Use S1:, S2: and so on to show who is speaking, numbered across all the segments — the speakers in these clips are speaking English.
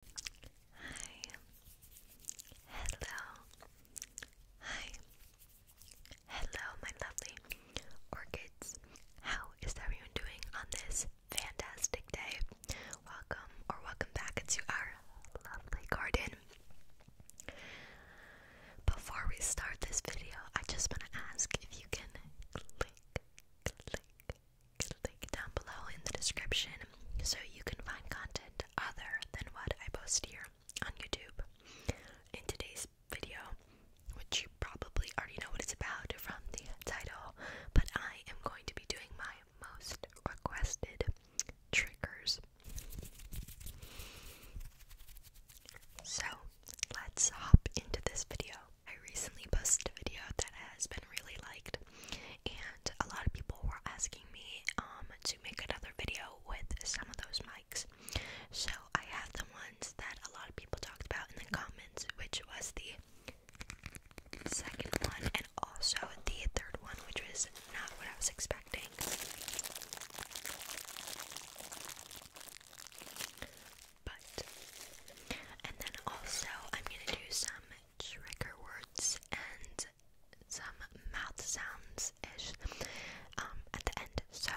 S1: Hi. Hello. Hi. Hello, my lovely orchids. How is everyone doing on this fantastic day? Welcome or welcome back to our lovely garden. Before we start this video, I just want to ask if you can click, click, click down below in the description so you can find content other than what I post here on YouTube. In today's video, which you probably already know what it's about from the title, but I am going to be doing my most requested triggers. So let's hop into this video. I recently posted a video that has been really liked and a lot of people were asking me um, to make another video with some of those mics. So I have the ones that a lot of people talked about in the comments, which was the second one and also the third one, which was not what I was expecting. But and then also I'm gonna do some trigger words and some mouth sounds ish um, at the end. So,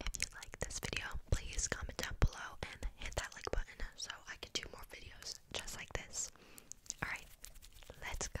S1: if you like this video, please comment down below and hit that like button so I can do more videos just like this. Alright, let's go.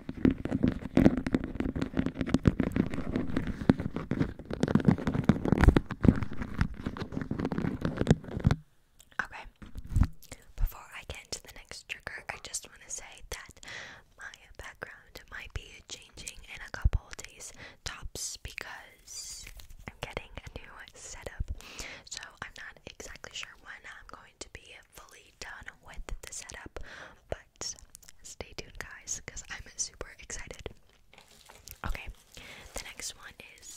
S1: Okay, before I get into the next trigger, I just want to say that my background might be changing in a couple days tops because I'm getting a new setup. So I'm not exactly sure when I'm going to be fully done with the setup, but stay tuned, guys, because I'm super excited. Okay, the next one is.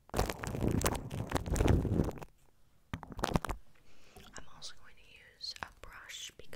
S1: I'm also going to use a brush because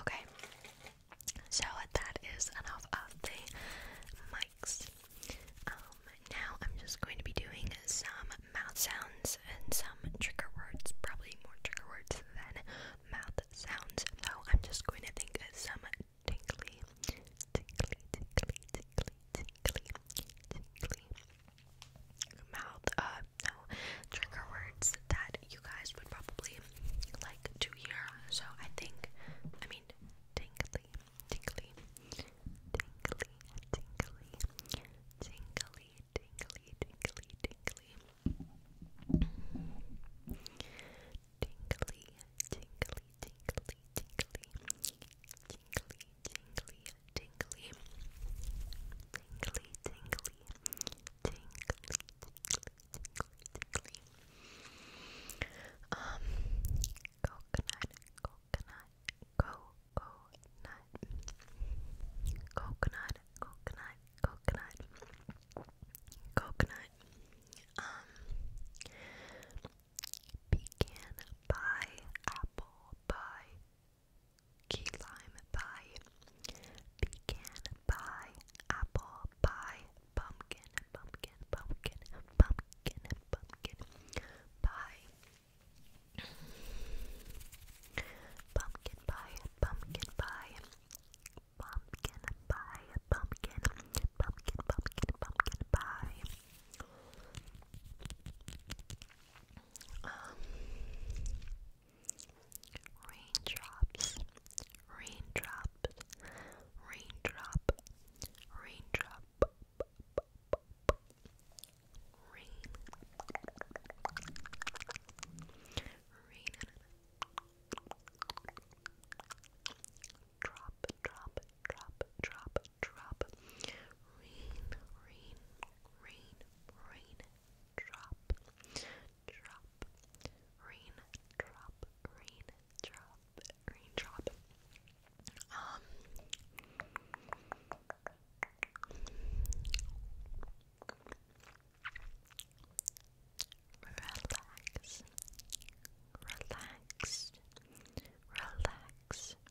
S1: Okay, so that is enough of the mics. Um, now I'm just going to be doing some mouth sounds and some trigger words, probably more trigger words than mouth sounds. So I'm just going to think of some tinkly, tinkly, tinkly, tinkly, tinkly, tinkly mouth uh, no trigger words that you guys would probably like to hear. So I think, I mean, tingly, tingly, tingly, tingly, tingly, tingly, tingly, tingly, tingly, tingly, tingly, tingly, tingly, tingly, tingly, tingly, tingly, tingly, tingly, tingly. Um, coconut, coconut, coconut, coconut, coconut, coconut, coconut. Um, pecan pie, apple pie key lime pie, pecan pie, apple pie, pumpkin, pumpkin, pumpkin, pumpkin, pumpkin pie, pumpkin pie, pumpkin pie, pumpkin pie, pumpkin, pumpkin, pumpkin, pumpkin pie um, raindrops, raindrop, raindrop, rain, rain, drop, drop, drop, drop, drop, rain, rain, rain, rain drop, drop, rain drop, rain drop, rain drop. Um, relax, relax, relax,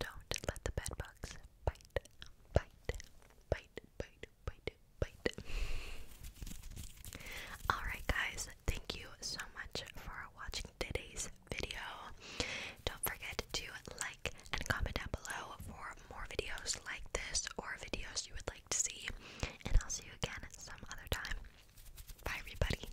S1: don't let the bed bugs bite, bite, bite, bite, bite, bite. Alright, guys, thank you so much for watching today's video. Don't forget to like and comment down below for more videos like this or videos you would like to see. And I'll see you again some other time. Bye, everybody.